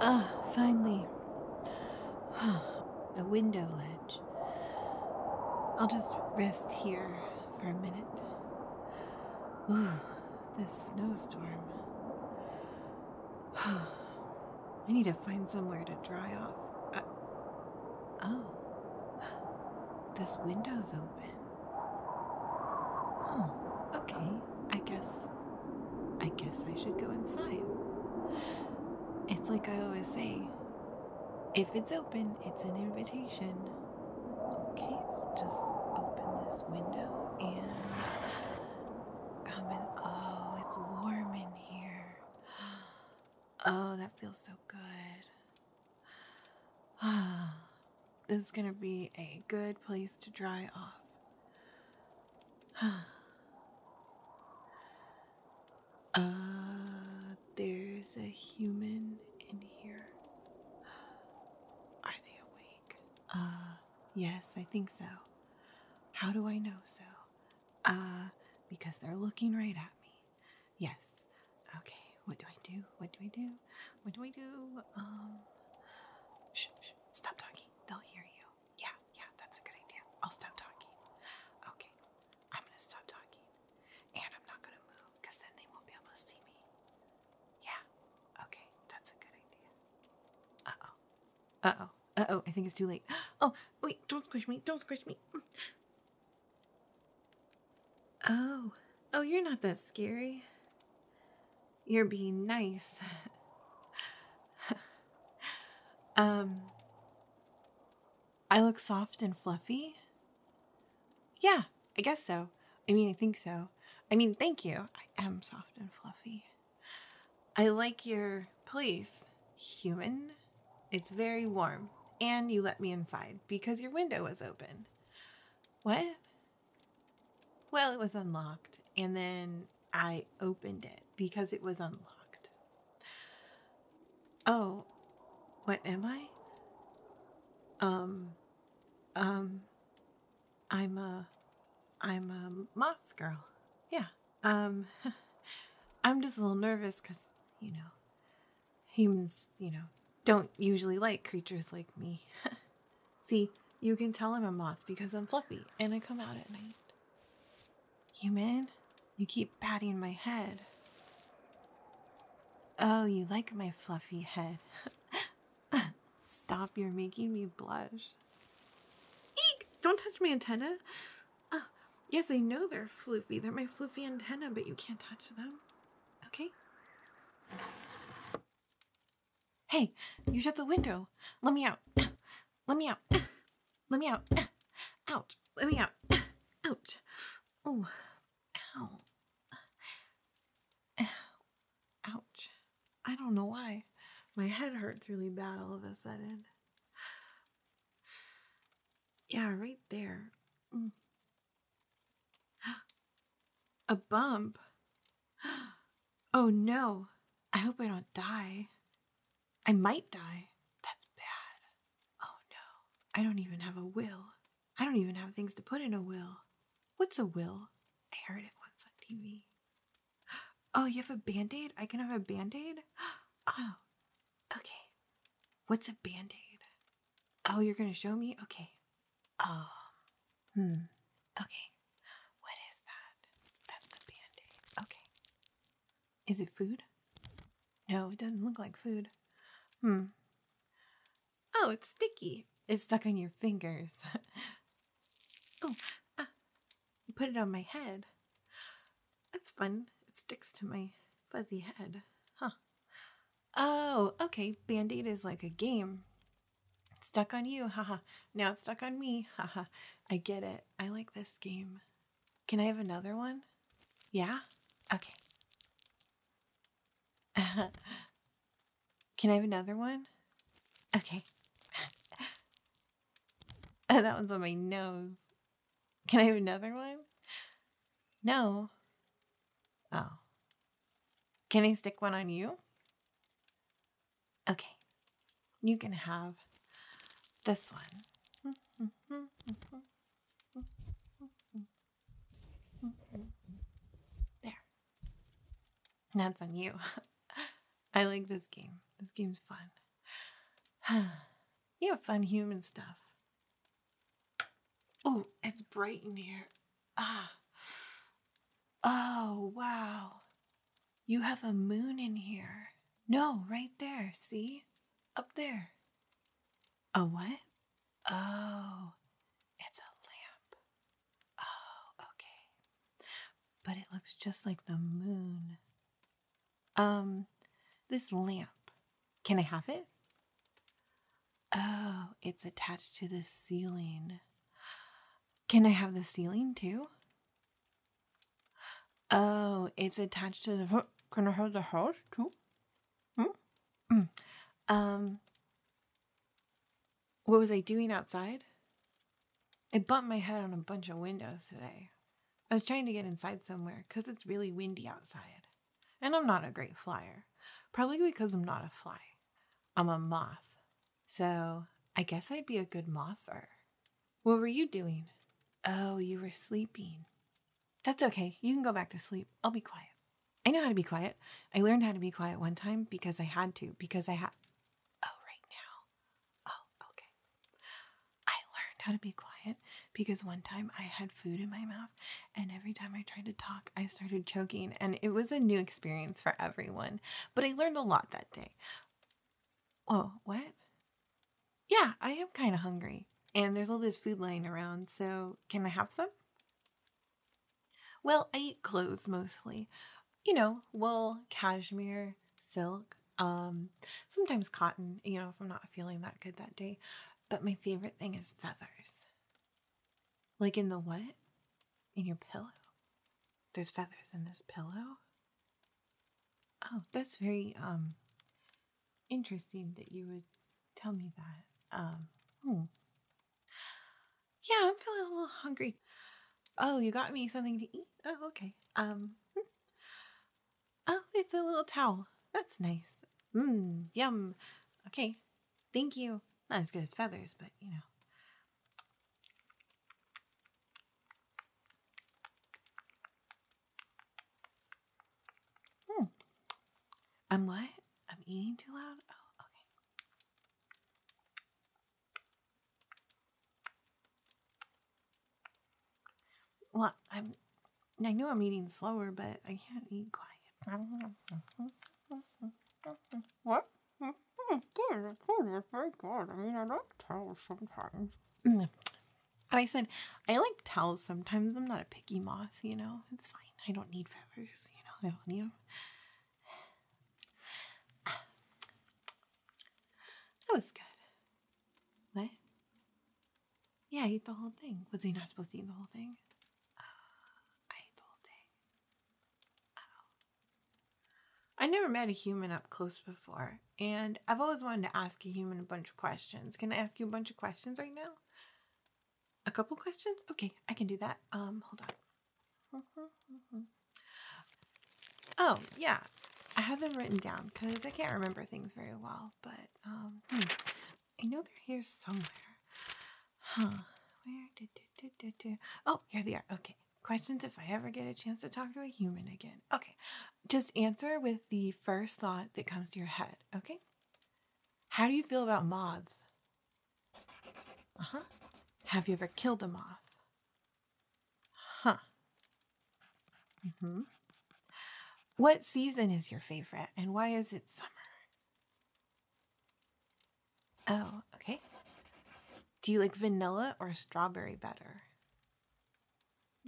Ah, finally. a window ledge. I'll just rest here for a minute. Ooh, this snowstorm. I need to find somewhere to dry off. Oh. This window's open. Hmm, okay. I guess. I guess I should go inside. It's like I always say if it's open, it's an invitation. Okay, I'll just open this window and come in. Oh, it's warm in here. Oh, that feels so good. this is going to be a good place to dry off. uh, there's a human in here. Are they awake? Uh, yes, I think so. How do I know so? uh, because they're looking right at me. Yes. Okay. What do I do? What do I do? What do I do? Um, shh, stop talking. They'll hear you. Yeah, yeah, that's a good idea. I'll stop talking. Okay. I'm going to stop talking. And I'm not going to move because then they won't be able to see me. Yeah. Okay. That's a good idea. Uh oh. Uh oh oh, I think it's too late. Oh, wait, don't squish me, don't squish me. Mm. Oh, oh, you're not that scary. You're being nice. um, I look soft and fluffy? Yeah, I guess so. I mean, I think so. I mean, thank you. I am soft and fluffy. I like your place, human. It's very warm, and you let me inside because your window was open. What? Well, it was unlocked, and then I opened it because it was unlocked. Oh, what am I? Um, um, I'm a, I'm a moth girl. Yeah. Um, I'm just a little nervous because, you know, humans, you know, don't usually like creatures like me. See, you can tell I'm a moth because I'm fluffy and I come out at night. Human, you keep patting my head. Oh, you like my fluffy head. Stop, you're making me blush. Eek! Don't touch my antenna. Ah, yes, I know they're floofy. They're my floofy antenna, but you can't touch them. Okay? Hey, you shut the window. Let me out. Let me out. Let me out. Ouch. Let me out. Ouch. Oh. Ow. Ouch. I don't know why. My head hurts really bad all of a sudden yeah, right there. A bump. Oh no. I hope I don't die. I might die. That's bad. Oh no. I don't even have a will. I don't even have things to put in a will. What's a will? I heard it once on TV. Oh, you have a band aid? I can have a band aid? Oh, okay. What's a band aid? Oh, you're going to show me? Okay. Oh, hmm. Okay. What is that? That's the band aid. Okay. Is it food? No, it doesn't look like food. Hmm. Oh, it's sticky. It's stuck on your fingers. oh, ah. You put it on my head. That's fun. It sticks to my fuzzy head. Huh. Oh, okay. Band aid is like a game. stuck on you. Haha. now it's stuck on me. Haha. I get it. I like this game. Can I have another one? Yeah? Okay. Can I have another one? Okay. And that one's on my nose. Can I have another one? No. Oh. Can I stick one on you? Okay. You can have this one. There. That's on you. I like this game. This game's fun. you have fun human stuff. Oh, it's bright in here. Ah. Oh, wow. You have a moon in here. No, right there. See? Up there. A what? Oh, it's a lamp. Oh, okay but it looks just like the moon. Um, this lamp, can I have it? Oh, it's attached to the ceiling. Can I have the ceiling too? Oh, it's attached to the. Can I have the house too? Hmm? Mm. um, what was I doing outside? I bumped my head on a bunch of windows today. I was trying to get inside somewhere because it's really windy outside. And I'm not a great flyer, probably because I'm not a fly. I'm a moth. So I guess I'd be a good moth mother. What were you doing? Oh, you were sleeping. That's okay. You can go back to sleep. I'll be quiet. I know how to be quiet. I learned how to be quiet one time because I had to, because I had. Oh, right now. Oh, okay. I learned how to be quiet because one time I had food in my mouth, and every time I tried to talk, I started choking, and it was a new experience for everyone. But I learned a lot that day. Oh, what? Yeah, I am kind of hungry, and there's all this food lying around, so can I have some? Well, I eat clothes mostly, you know, wool, cashmere, silk, um, sometimes cotton, you know, if I'm not feeling that good that day. But my favorite thing is feathers. Like in the what? In your pillow. There's feathers in this pillow. Oh, that's very um interesting that you would tell me that. Um, hmm. Yeah, I'm feeling a little hungry. Oh, you got me something to eat? Oh, okay. Um, hmm. oh, it's a little towel. That's nice. Mmm, yum. Okay, thank you. Not as good as feathers, but you know. Hmm. I'm what? I'm eating too loud? Oh, okay. Well, I'm. I know I'm eating slower, but I can't eat quiet. What? It's good. It's good. It's very good. I mean, I like towels sometimes. and I said, I like towels sometimes. I'm not a picky moth, you know. It's fine. I don't need feathers, you know. I don't need them. That was good. What? Yeah, I ate the whole thing. Was he not supposed to eat the whole thing? Uh, I ate the whole thing. I never met a human up close before, and I've always wanted to ask a human a bunch of questions. Can I ask you a bunch of questions right now? A couple questions? Okay, I can do that. Um, hold on. Oh, yeah. I have them written down because I can't remember things very well, but um, hmm. I know they're here somewhere. Huh. Where did, did, did, did, Oh, here they are. Okay. Questions if I ever get a chance to talk to a human again. Okay. Just answer with the first thought that comes to your head, okay? How do you feel about moths? Uh huh. Have you ever killed a moth? Huh. hmm. What season is your favorite and why is it summer? Oh, okay. Do you like vanilla or strawberry better?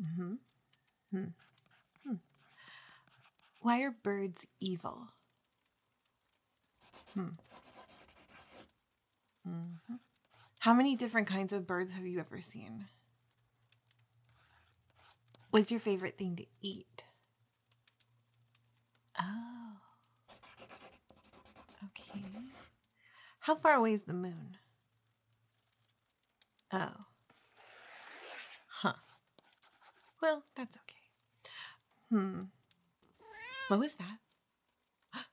Mm hmm. Hmm. hmm. Why are birds evil? Hmm. Mm-hmm. How many different kinds of birds have you ever seen? What's your favorite thing to eat? Oh. Okay. How far away is the moon? Oh. Huh. Well, that's okay. Hmm. What was that?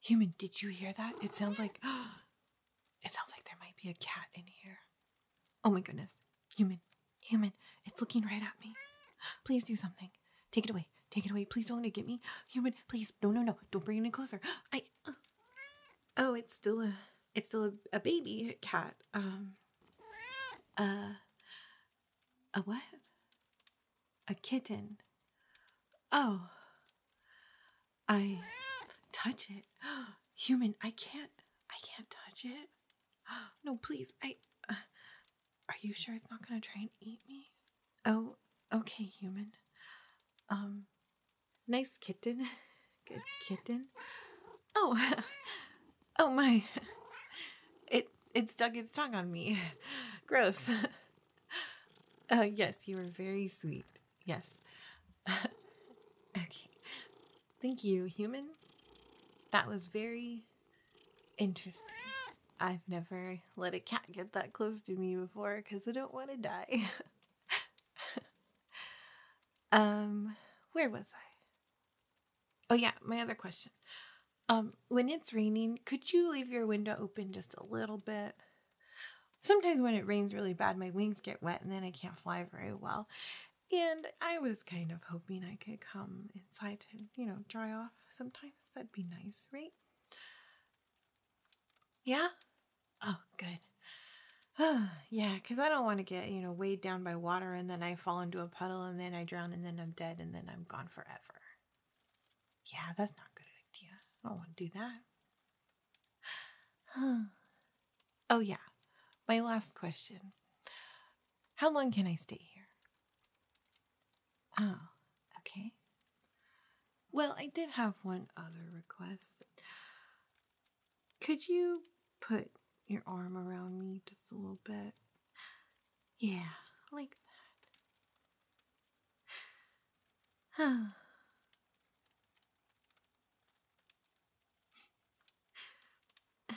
Human, did you hear that? It sounds like it sounds like there might be a cat in here. Oh my goodness. Human, human, it's looking right at me. Please do something. Take it away. Take it away. Please don't let it get me. Human, please. No, no, no. Don't bring it any closer. I uh, Oh, it's still a it's still a, a baby cat. Um uh a what? a kitten. Oh, I touch it. Human, I can't. I can't touch it. No, please. I. Uh, are you sure it's not gonna try and eat me? Oh, okay, human. Um, nice kitten. Good kitten. Oh, oh my. It it stuck its tongue on me. Gross. uh, yes, you were very sweet. Yes. okay. Thank you, human. That was very interesting. I've never let a cat get that close to me before because I don't want to die. um, where was I? Oh yeah, my other question. Um, when it's raining, could you leave your window open just a little bit? Sometimes when it rains really bad, my wings get wet and then I can't fly very well. And I was kind of hoping I could come inside to, you know, dry off sometimes. That'd be nice, right? Yeah? Oh, good. yeah, because I don't want to get, you know, weighed down by water and then I fall into a puddle and then I drown and then I'm dead and then I'm gone forever. Yeah, that's not a good idea. I don't want to do that. oh, yeah. My last question How long can I stay here? Oh, okay. Well, I did have one other request. Could you put your arm around me just a little bit? Yeah, like that.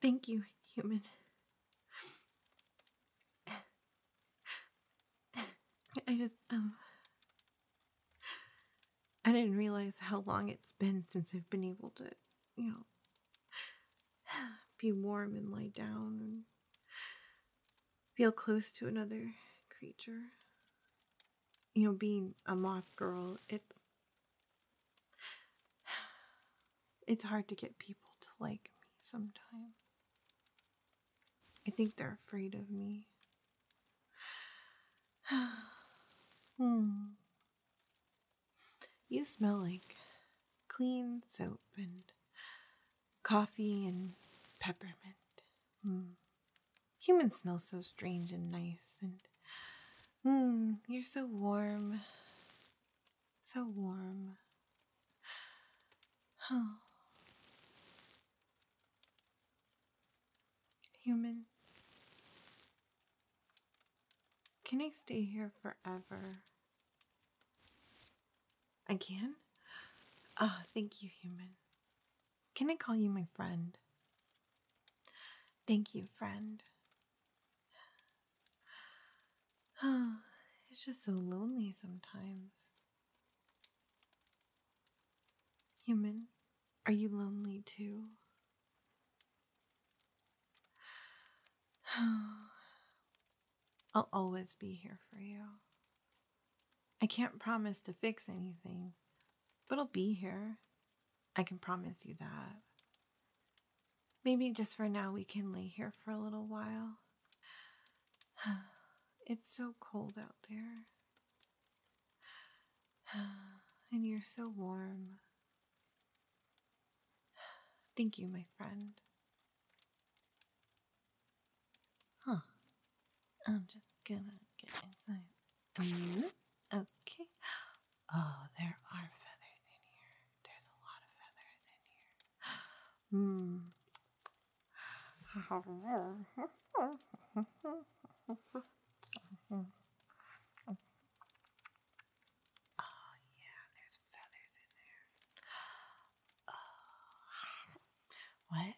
Thank you, human. I just, um, I didn't realize how long it's been since I've been able to, you know, be warm and lie down and feel close to another creature. You know, being a moth girl, it's it's hard to get people to like me sometimes. I think they're afraid of me. hmm. You smell like clean soap and coffee and peppermint. Mm. Humans smell so strange and nice, and mm, you're so warm. So warm. Human. Can I stay here forever? I can. Ah, thank you, human. Can I call you my friend? Thank you, friend. Oh, it's just so lonely sometimes. Human, are you lonely too? I'll always be here for you. I can't promise to fix anything, but I'll be here. I can promise you that. Maybe just for now we can lay here for a little while. It's so cold out there. And you're so warm. Thank you, my friend. Huh. I'm just gonna get inside mm-hmm. Okay. Oh, there are feathers in here. There's a lot of feathers in here. Hmm. Oh, yeah, there's feathers in there. Oh. What?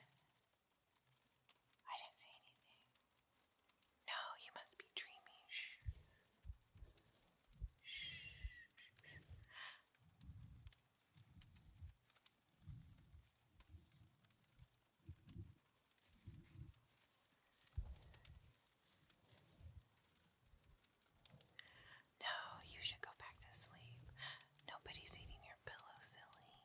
I didn't see anything. No, you must be dreaming. Shh. No, you should go back to sleep. Nobody's eating your pillow, silly.